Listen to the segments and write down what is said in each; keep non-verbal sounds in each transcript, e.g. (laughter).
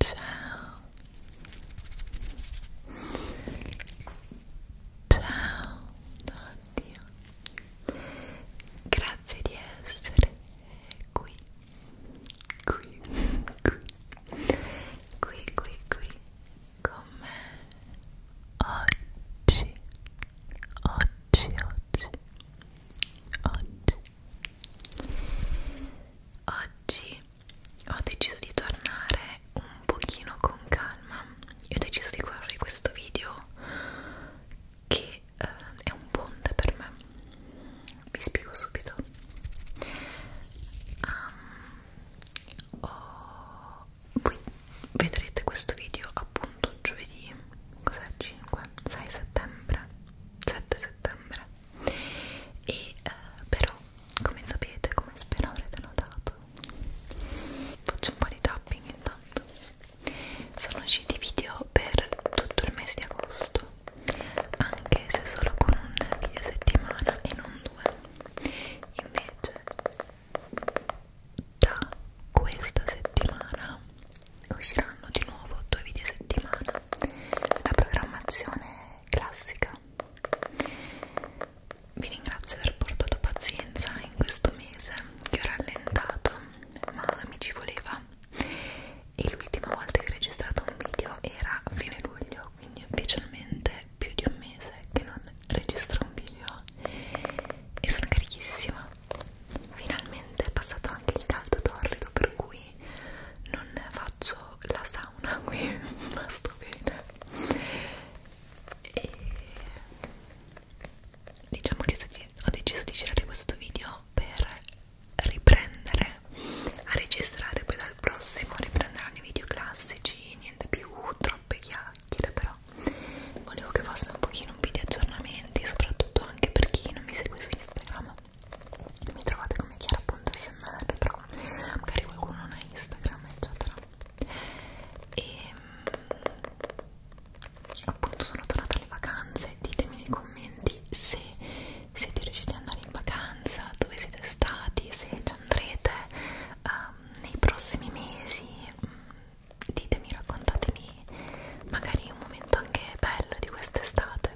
Ciao. Ciao. Oddio. Grazie di essere qui. Qui. Qui. Qui, qui, qui con me oggi, oggi, oggi, oggi. Oggi ho deciso di tornare un pochino con calma e ho deciso di guardare questo video che eh, è un ponte per me. Vi spiego subito. Um, oh, voi vedrete questo video appunto giovedì cos'è 5 6 settembre 7 settembre e eh, però come sapete come spero avrete notato faccio un po' di tapping intanto sono usciti video per tutto il mese di agosto anche se solo con un video a settimana e non due invece da questa settimana usciranno di nuovo due video a settimana la programmazione classica vi ringrazio per aver portato pazienza in questo mese che ho rallentato ma mi ci voleva e l'ultima volta che ho registrato un video era a fine luglio quindi ufficialmente più di un mese che non registro un video e sono carichissima finalmente è passato anche il caldo torrido per cui non faccio la sauna (laughs) qui ma sto bene e diciamo che ho deciso di girare questo video per riprendere a registrare poi dal prossimo riprenderanno i video classici, niente più troppe chiacchiere però volevo che fosse un pochino un video aggiornamenti, soprattutto anche per chi non mi segue su Instagram mi trovate come chiara.smr però magari qualcuno non ha Instagram eccetera e ehm, appunto sono tornata alle vacanze ditemi nei commenti se siete riusciti ad andare in vacanza dove siete stati se ci andrete um, nei prossimi mesi mm, ditemi, raccontatemi magari un momento anche bello di quest'estate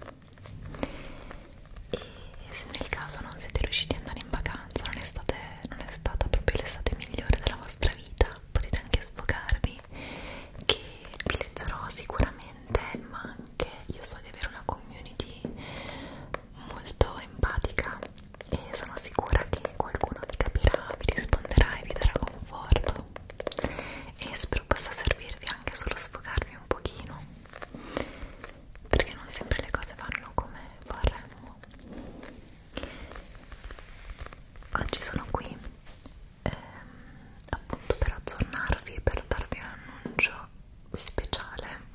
e se nel caso non siete riusciti ad andare in vacanza non è, state, non è stata proprio l'estate migliore della vostra vita potete anche sfogarvi che vi leggerò sicuramente ma anche io so di avere una community molto empatica e sono sicura che qualcuno vi capirà, vi risponderà e vi darà conforto e spero possa servirvi anche solo sfogarvi un pochino perché non sempre le cose vanno come vorremmo oggi sono qui ehm, appunto per aggiornarvi per darvi un annuncio speciale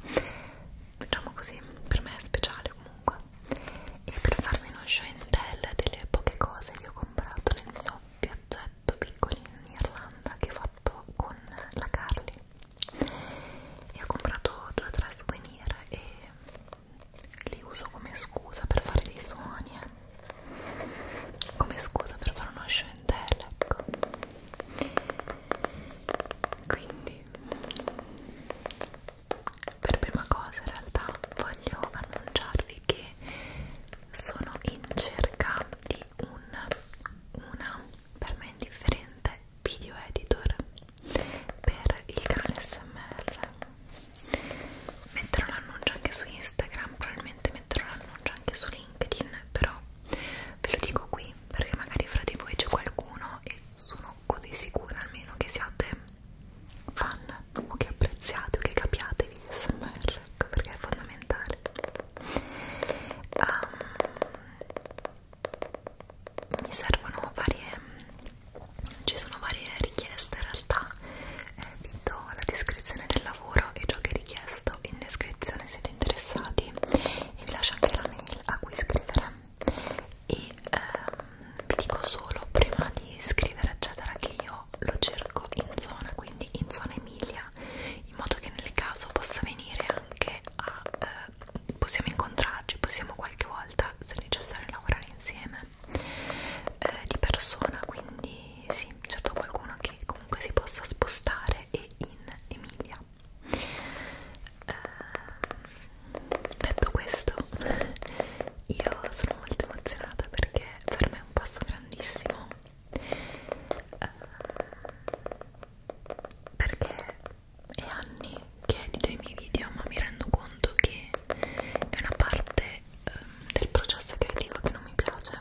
diciamo così per me è speciale comunque e per farmi uno show and tell delle poche cose che ho comprato nel mio viaggetto piccolo in Irlanda che ho fatto con la Carly e ho comprato due o tre souvenir e li uso come scusa per fare dei suoni eh. come scusa per fare uno show and tell ecco quindi per prima cosa in realtà voglio annunciarvi che sono in cerca di un, una per me indifferente video editor per il canale SMR metterò l'annuncio anche su Instagram probabilmente metterò l'annuncio anche su LinkedIn però ve lo dico qui perché magari fra di voi c'è qualcuno e sono così sicura almeno che siate fan o che apprezziate o che capiate gli smr ecco perché è fondamentale um, mi servono varie ci sono varie richieste in realtà eh, vi do la descrizione del lavoro e ciò che è richiesto in descrizione se siete interessati e vi lascio anche la mail a cui scrivere e ehm, vi dico solo prima di scrivere eccetera che io lo cerco in zona quindi in zona Emilia in modo che nel caso possa venire anche a eh, possiamo incontrarci possiamo qualche volta se necessario lavorare insieme eh, di persona quindi sì certo qualcuno che comunque si possa spostare e in Emilia eh, detto questo, io sono molto emozionata perché per me è un passo grandissimo. Eh, perché è anni che edito i miei video, ma mi rendo conto che è una parte eh, del processo creativo che non mi piace,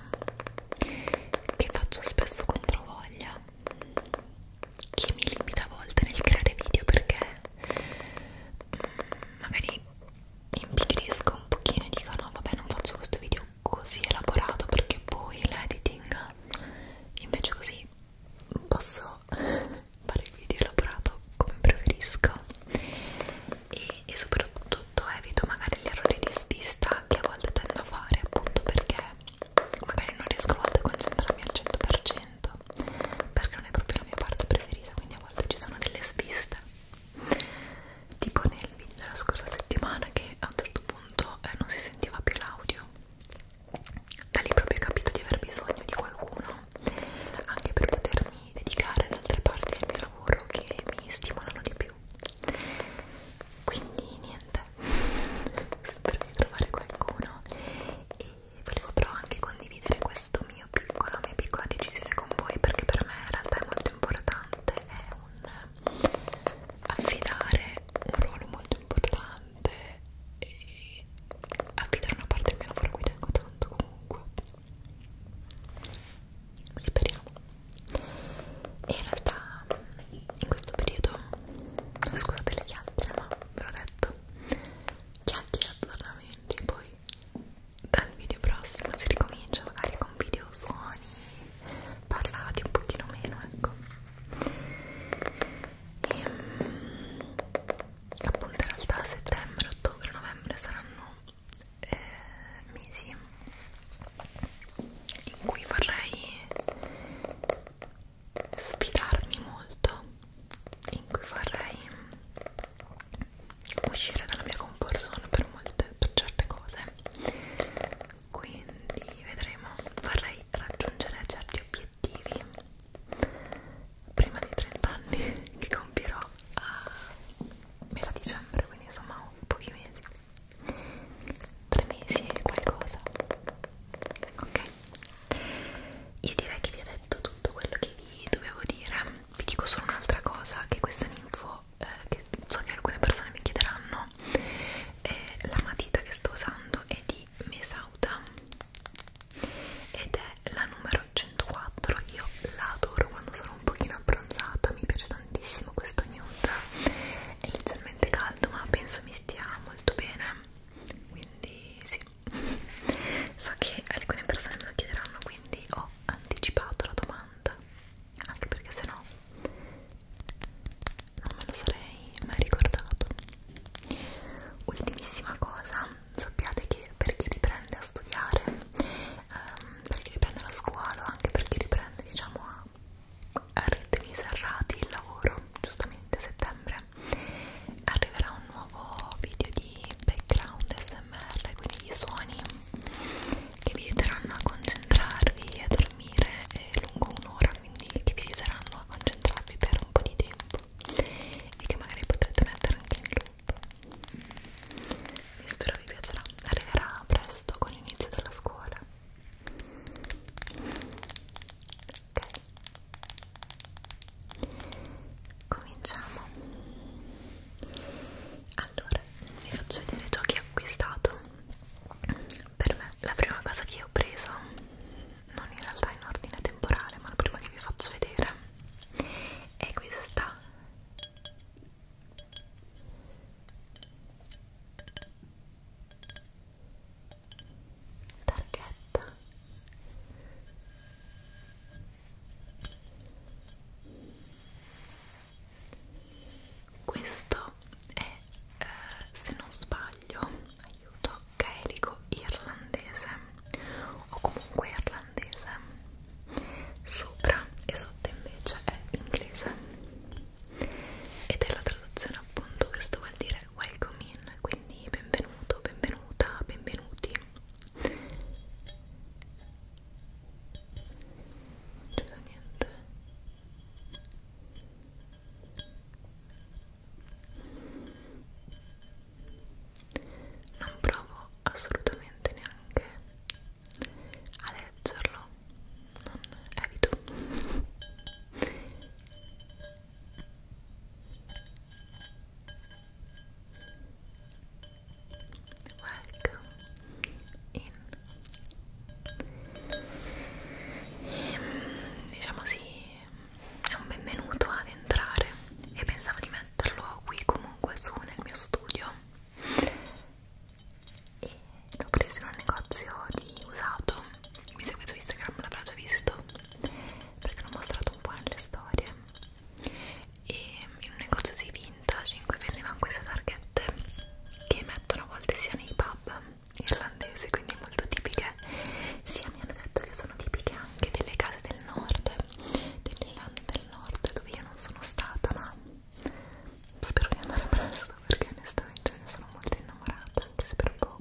che faccio spesso contro voglia che mi limita a volte nel creare video perché mh, mm, magari impigrisco un pochino e dico no vabbè non faccio questo video così elaborato perché poi l'editing invece così posso (laughs) fare il video elaborato come preferisco e, e soprattutto evito magari l'errore di svista che a volte tendo a fare appunto perché magari non riesco a volte a concentrarmi al 100% perché non è proprio la mia parte preferita quindi a volte ci sono delle sviste tipo nel video della scorsa settimana che a un certo punto eh, non si sentiva più l'audio da lì proprio ho capito di aver bisogno di qualcuno anche per potermi dedicare ad altre parti del mio lavoro che mi stimolano di più quindi niente spero di trovare qualcuno e volevo però anche condividere questo mio piccolo, la mia piccola decisione con voi perché per me in realtà è molto importante è un affidare un ruolo molto importante e affidare una parte del mio lavoro qui tengo tanto comunque speriamo e in realtà in questo periodo scusate le chiacchiere ma ve l'ho detto chiacchiere aggiornamenti poi dal video prossimo si ricomincia magari con video suoni parlati un pochino meno ecco e, ehm, appunto in realtà settembre, ottobre, novembre saranno eh, mesi in cui vorrei sfidarmi molto, in cui vorrei uscire dalla mia comfort zone per, molte, per certe cose quindi vedremo, vorrei raggiungere certi obiettivi prima dei 30 anni (laughs) che compirò a metà dicembre quindi insomma pochi mesi tre mesi e qualcosa ok io direi che vi ho detto tutto quello che vi dovevo dire vi dico solo un'altra cosa che questa è un'info eh, che so che alcune persone mi chiederanno eh, la matita che sto usando è di Mesauta ed è la numero 104 io la adoro quando sono un pochino abbronzata mi piace tantissimo tantissimo questo nude è leggermente caldo ma penso mi stia molto bene quindi sì so che alcune persone me lo chiederanno quindi ho anticipato la domanda anche perché sennò no, non me lo sarei mai ricordato ultimissima cosa sappiate che per chi riprende a studiare ehm, per chi riprende la scuola anche per chi riprende diciamo a a ritmi serrati il lavoro, giustamente a settembre arriverà un nuovo video di background smr, quindi i suoni che vi aiuteranno a concentrarvi e a dormire eh, lungo un'ora, quindi che vi aiuteranno a concentrarvi per un po' di tempo e che magari potrete mettere anche in loop. E mm. spero vi piacerà, arriverà presto con l'inizio della scuola cominciamo allora vi faccio vedere ciò che ho acquistato per me la prima cosa che ho preso non in realtà in ordine temporale ma la prima che vi faccio vedere è questa targhetta questo è eh, se non sbaglio aiuto gaelico irlandese o comunque irlandese sopra e sotto invece è inglese ed è la traduzione appunto, questo vuol dire welcome in, quindi benvenuto, benvenuta, benvenuti non c'è cioè, niente non provo assolutamente neanche ad leggerlo non evito welcome in e, ehm, diciamo sì è un benvenuto ad entrare e pensavo di metterlo qui comunque su nel mio studio e l'ho preso in un negozio di usato mi seguito su Instagram, l'avrà già visto perché l'ho mostrato un po' nelle storie e in un negozio di vintage in cui vendevano queste targhette che mettono a volte sia nei pub irlandesi quindi molto tipiche sia mi hanno detto che sono tipiche anche delle case del nord dell'Irlanda del nord dove io non sono stata ma spero di andare presto perché onestamente ne sono molto innamorata anche se per poco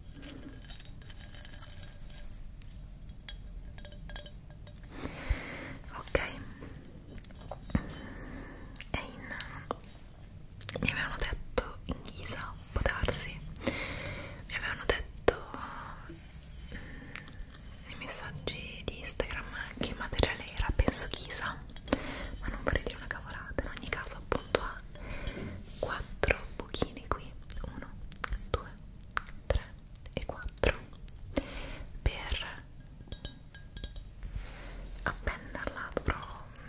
ok e in mi avevano detto in ghisa può darsi mi avevano detto mm, nei messaggi di Instagram che materiale era penso ghisa ma non vorrei dire una cavolata in ogni caso appunto ha 4 buchini qui 1 2 3 e 4 per appenderla dovrò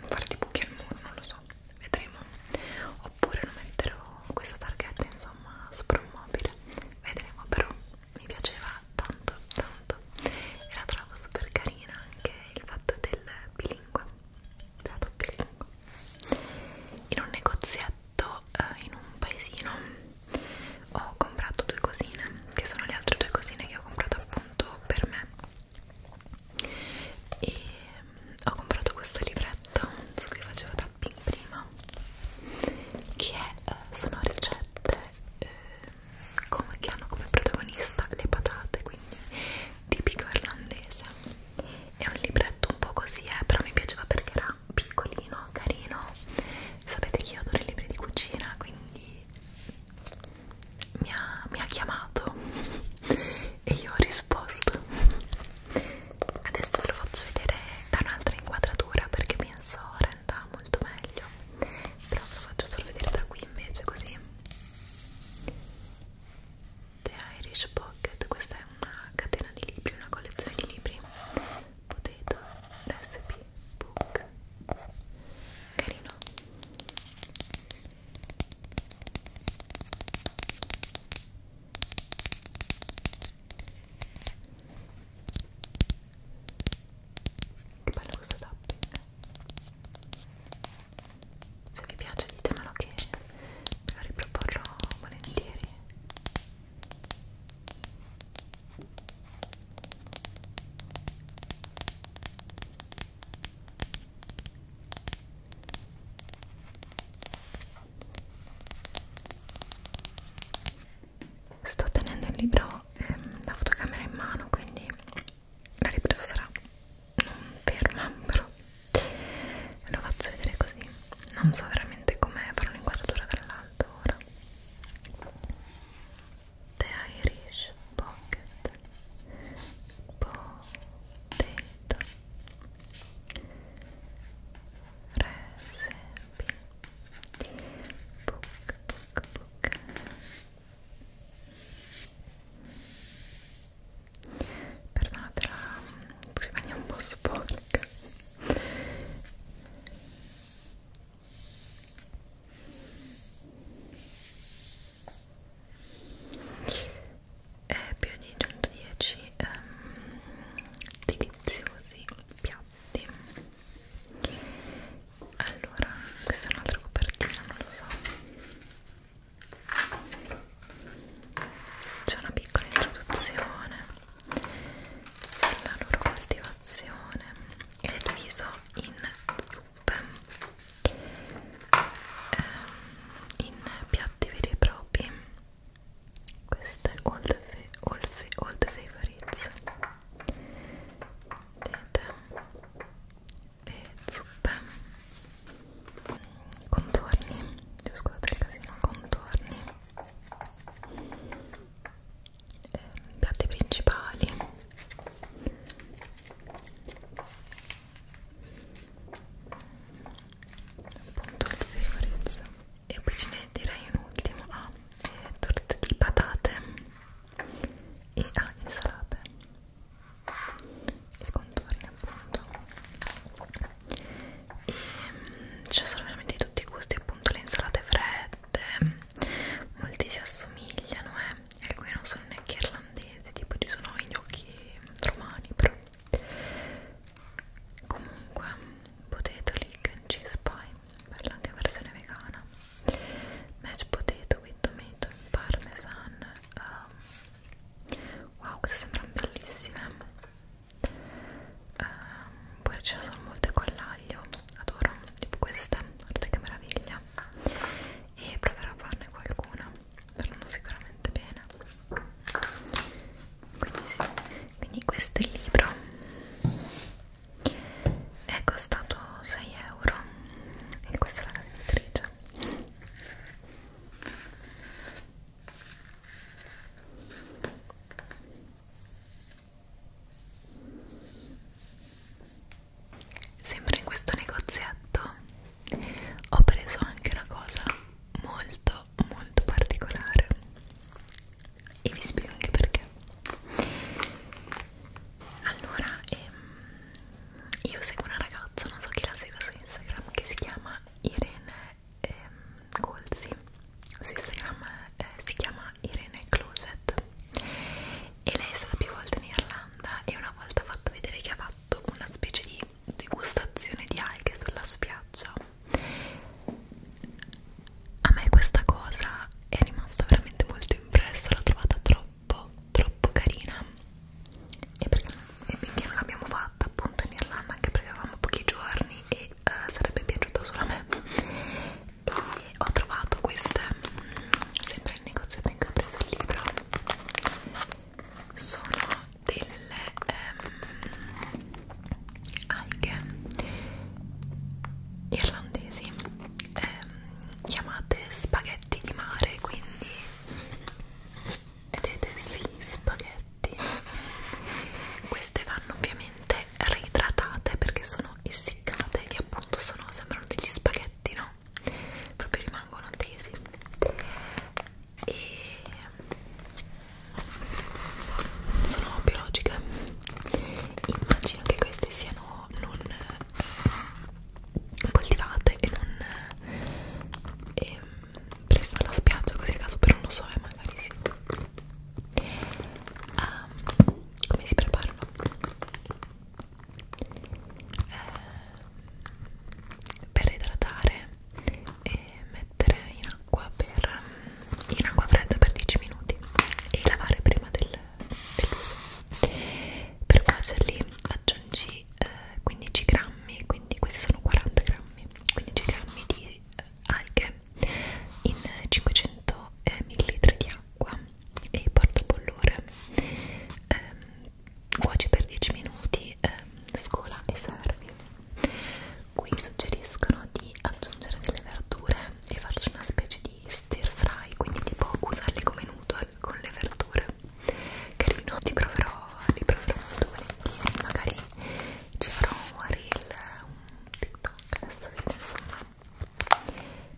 fare dei buchi al muro non lo so vedremo oppure lo metterò questa targhetta insomma sopra un mobile vedremo però mi piaceva tanto tanto e la trovo super carina anche il fatto del bilingue della doppia lingua in un negozietto eh, in un paesino ho comprato due cosine che sono le altre due cosine che ho comprato appunto per me e mm, ho comprato questo libretto su cui facevo tapping prima che è, eh, sono ricette eh, come, che hanno come protagonista le patate quindi tipico irlandese è un libretto un po' così eh, però mi piaceva perché era piccolino, carino sapete che io adoro i libri di cucina quindi mi ha, mi ha chiamato (laughs) e io ho risposto adesso ve lo faccio vedere da un'altra inquadratura perché penso renda molto meglio però ve lo faccio solo vedere da qui invece così The Irish Pocket, questa è una catena di libri, una collezione di libri Potato Recipe Book Carino che bello questo tapping se vi piace ditemelo che ve lo riproporrò volentieri Sto tenendo il libro, ehm, la fotocamera in mano, quindi la ripresa sarà non ferma, però ve lo faccio vedere così non so veramente come farò l'inquadratura dall'alto ora The Irish Pocket Potato Recipe Book Book Book perdonate la scrivania un po' sporca e più di 110 ehm, deliziosi piatti allora questa è un'altra copertina non lo so c'è una piccola introduzione sulla loro coltivazione ed è diviso in zuppe eh, in piatti veri e propri queste all the, all the, all the favorites vedete e zuppe contorni scusate il casino contorni eh, piatti principali appunto il favorezzo e poi ce ne direi un ultimo ah, eh, torte di patate e ah, insalate i contorni appunto e mm, c'è solo veramente di tutti i gusti appunto le insalate fredde mm, molti si assomigliano eh. e alcuni non sono neanche irlandesi tipo ci sono i gnocchi romani però comunque potato leek and cheese pie per anche versione vegana mashed potato with tomato parmesan um, wow queste sembrano bellissime um, poi ce ne sono molte con l'aglio adoro tipo queste guardate che meraviglia e proverò a farne qualcuna verranno sicuramente bene quindi sì quindi questo è il libro è costato 6 euro e questa è la editrice Sempre in questo negozietto ho preso anche una cosa molto molto particolare e vi spiego anche perché. Allora, ehm, io seguo una ragazza, non so chi la segue su Instagram, che si chiama Irene ehm, Golzi su Instagram eh, si chiama Irene Closet e lei è stata più volte in Irlanda e una volta ha fatto vedere che ha fatto una specie di degustazione di alghe sulla spiaggia a me questa cosa è rimasta veramente molto impressa l'ho trovata troppo troppo carina e, perché, e quindi non l'abbiamo fatta appunto in Irlanda anche perché avevamo pochi giorni e uh, sarebbe piaciuto solo a me e ho trovato queste mm, sempre nel negozietto in cui ho preso il libro sono delle ehm, alghe irlandesi ehm, chiamate spaghetti di mare quindi vedete sì spaghetti queste vanno ovviamente reidratate perché sono essiccate e appunto sono, sembrano degli spaghetti no? proprio rimangono tesi e sono biologiche immagino che queste siano non eh, coltivate e non eh, ehm, presa alla spiaggia così a caso però non so eh, magari sì um, come si prepara? Eh, per idratare e mettere in acqua per in acqua fredda per 10 minuti e lavare prima del, dell'uso per cuocerli aggiungi di eh, 15 grammi quindi questi sono 40 grammi 15 grammi di eh, alghe in 500 eh, ml di acqua e porta bollore ehm, cuoci per 10 minuti ehm, scola e servi qui suggeriscono di aggiungere delle verdure e farci una specie di stir fry quindi tipo usarle come noodle eh, con le verdure carino, ti proverò, li proverò molto volentieri, magari ci farò un reel, un tiktok, adesso vedo insomma,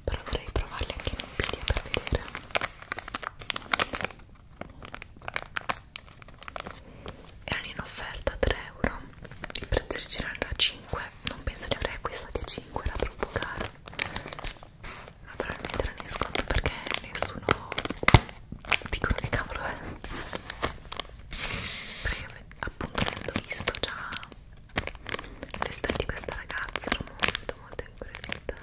però vorrei provarli anche in un video per vedere. Erano in offerta a 3 euro, il prezzo originale era a 5, non penso li avrei acquistati a 5, era troppo caro ma probabilmente non ne sconto perché nessuno dicono che cavolo è perché appunto avendo visto già l'estate di questa ragazza ero molto molto incuriosita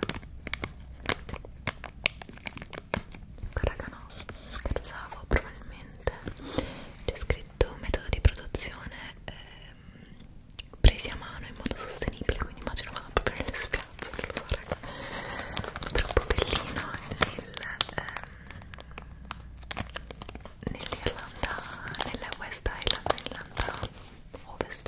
raga no scherzavo probabilmente c'è scritto metodo di produzione ehm, presi a mano in modo sostenibile quindi immagino vado proprio nelle spese cazzo lo farà troppo bellino nel, ehm, nell'Irlanda, nella West Island, nell'Irlanda Ovest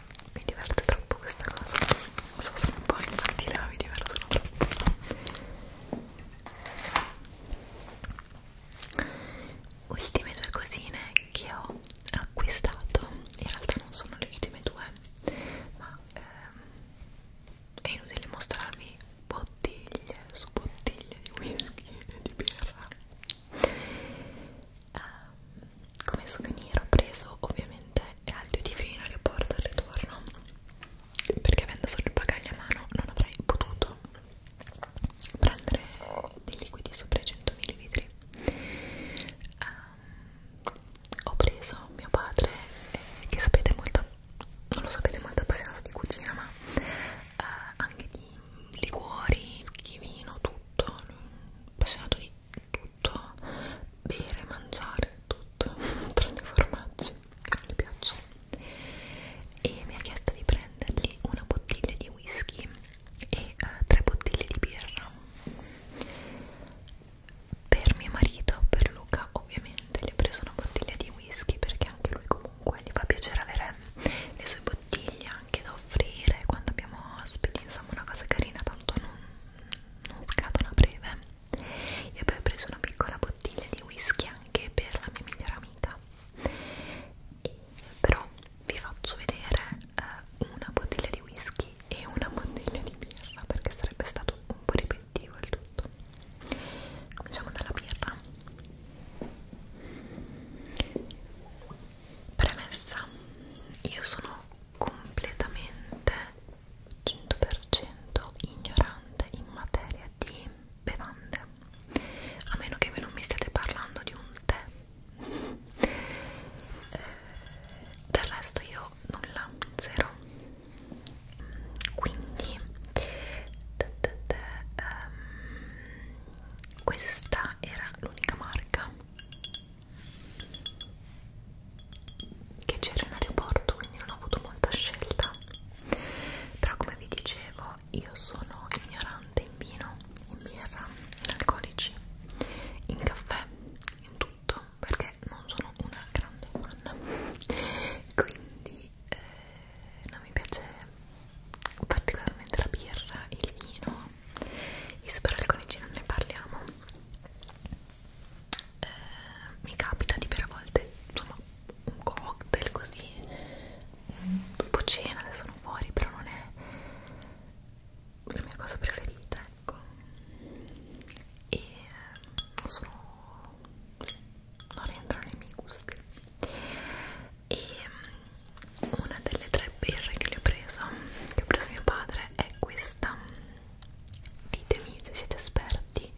mi diverte troppo questa cosa non so sono un po' infantile ma mi divertono troppo ultime due cosine che ho acquistato in realtà non sono le ultime due ma ehm, è inutile mostrarvi bottiglie su bottiglie di whisky e di birra Um, come souvenir ho preso ovviamente è l'aglio di vino che porto al ritorno perché avendo solo il bagaglio a mano non avrei potuto prendere dei liquidi sopra i 100 ml um, ho preso mio padre eh, che sapete molto non lo sapete molto appassionato di cucina ma eh, anche di liquori, schivino, tutto appassionato di tutto tutto, bere, mangiare, tutto, (laughs) tranne formaggi che non gli piacciono. E mi ha chiesto di prendergli una bottiglia di whisky e uh, tre bottiglie di birra. Per mio marito, per Luca, ovviamente gli ho preso una bottiglia di whisky perché anche lui comunque gli fa piacere avere le sue bottiglie anche da offrire quando abbiamo ospiti, insomma una cosa carina, tanto non una scatola breve e poi ho preso una piccola bottiglia di whisky anche per la mia migliore amica e però vi faccio vedere eh, una bottiglia di whisky e una bottiglia di birra perché sarebbe stato un po' ripetitivo il tutto cominciamo dalla birra premessa io sono completamente 100% ignorante in materia di bevande a meno che voi non mi stiate parlando di un tè eh, del resto io nulla, zero quindi da, da, da, um, questa era l'unica marca che c'era in aeroporto quindi non ho avuto molta scelta però come vi dicevo io sono ignorante in vino in birra, in alcolici in caffè in tutto perché non sono una grande fan quindi eh, non mi piace particolarmente la birra, il vino i superalcolici non ne parliamo eh, mi capita di bere a volte insomma un cocktail così dopo cena adesso sono fuori però non è la mia cosa preferita ecco e eh, non sono non rientrano nei miei gusti e mm, una delle tre delle birre che le ho preso che ho preso mio padre è questa ditemi se siete esperti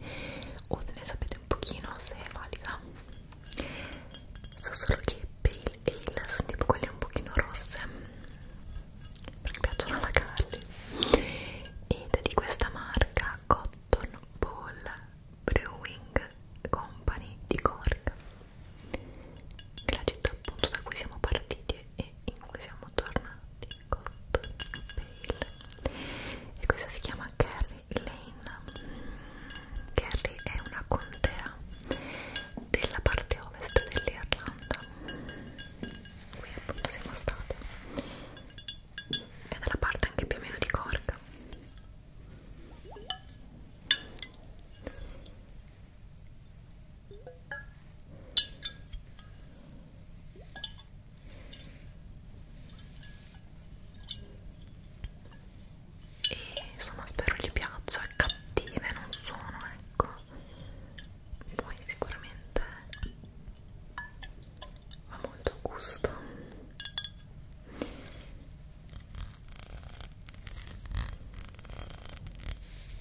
o ne sapete un pochino se è valida so solo che pale ale sono tipo quelle un pochino rosse perché piacciono alla Carly ed è di questa marca Cotton Ball Brewing Company di Cork la città appunto da cui siamo partiti e in cui siamo tornati Cotton Vale e questa si chiama Kerry Lane Kerry mm, è una contea della parte ovest dell'Irlanda qui appunto siamo state è dalla parte anche più o meno di Cork e insomma spero gli piaccia cattive non sono ecco poi sicuramente ha molto gusto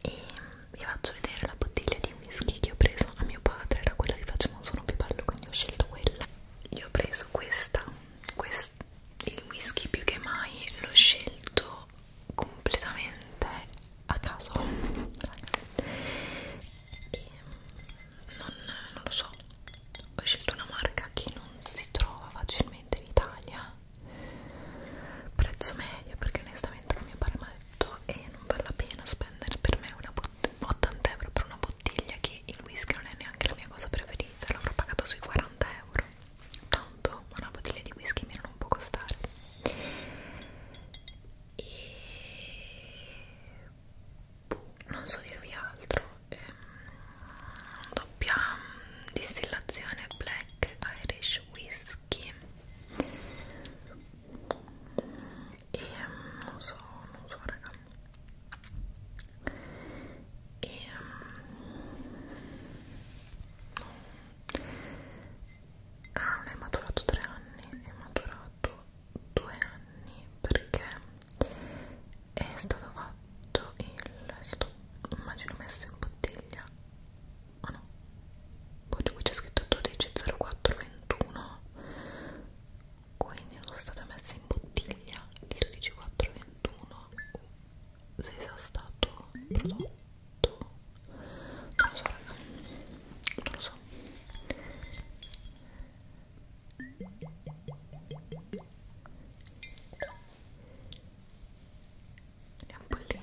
e vi faccio vedere la bottiglia di whisky che ho preso a mio padre era quella che facevamo un suono più bello quindi ho scelto quella gli ho preso questa, quest il whisky più che mai l'ho scelto completamente a caso e non, non lo so ho scelto una marca che non si trova facilmente in Italia prezzo medio perché onestamente mio padre mi ha detto e eh, non vale la pena spendere per me una 80 euro per una bottiglia bottiglia che il whisky non è neanche la mia cosa preferita l'avrò pagato sui 40 euro tanto una bottiglia di whisky meno non può costare e boh, non so dirvi altro ehm, doppia mm, distillazione black irish whisky e um, non so, non so raga e um, mm, no. ah non è maturato tre anni è maturato due anni perché è stato fatto il è stato, immagino messo in bottiglia ah oh no boh, poi qui c'è scritto 12.04.21 quindi sono state messe in bottiglia il 12421 se sia stato prodotto non lo so raga non lo so le ampolline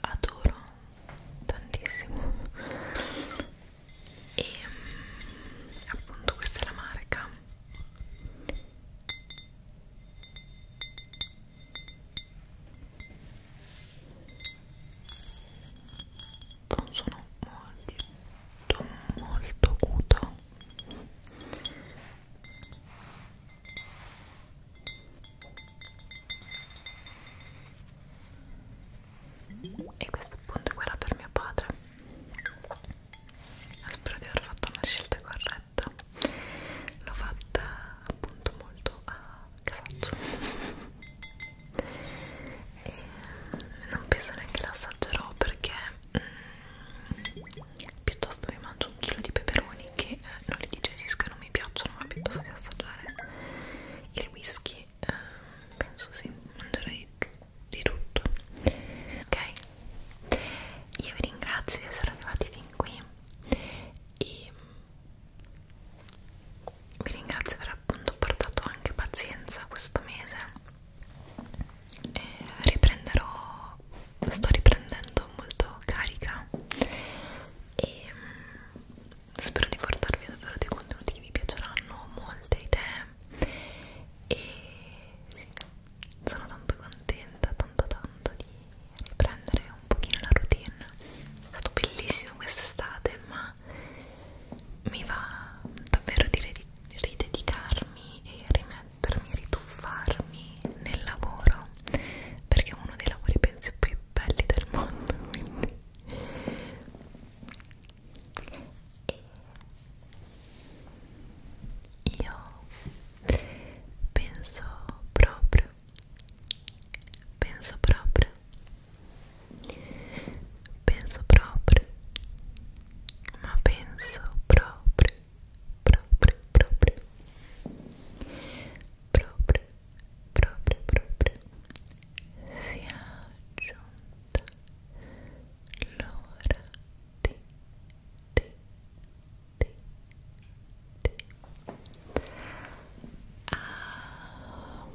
adoro tantissimo e mm, appunto questa è la marca non sono molto molto acuto e questo appunto è quella per mio padre spero di aver fatto una scelta corretta l'ho fatta appunto molto a caso e non penso neanche l'assaggerò perché mm, piuttosto mi mangio un chilo di peperoni che eh, non li digestisco e non mi piacciono ma piuttosto di assaggiare il whisky eh, penso sì, mangerei di tutto ok io vi ringrazio di essere arrivati fin qui e vi ringrazio per aver appunto portato anche pazienza questo mese e riprenderò sto riprendendo molto carica e mm, spero di portarvi davvero dei contenuti che vi piaceranno molte idee e sì, sono tanto contenta tanto tanto di riprendere un pochino la routine è stato bellissimo quest'estate ma mi va davvero di ridedicarmi e rimettermi, rituffarmi nel lavoro perché è uno dei lavori penso più belli del mondo quindi e io penso proprio penso proprio penso proprio ma penso proprio proprio proprio proprio proprio proprio sia giunta l'ora di di di di Amare ah,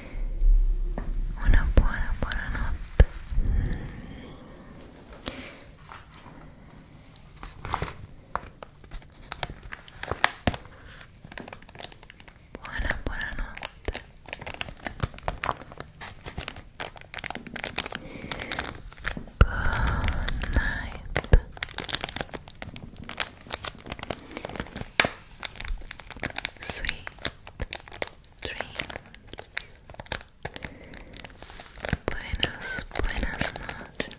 una buena, buena noche. buena, buena noche good night sweet dreams. Buenas, buenas noches.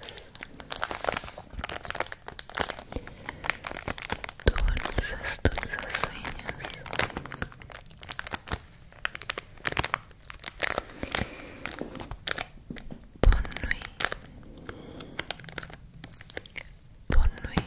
Dulces, dulces sueños. Bon nuit.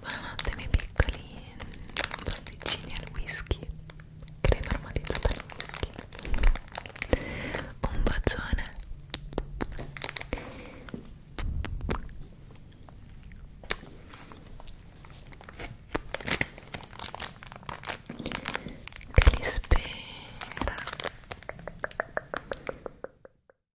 Buonanotte miei piccoli pasticcini al whisky crema aromatizzata al whisky un bacione che li spera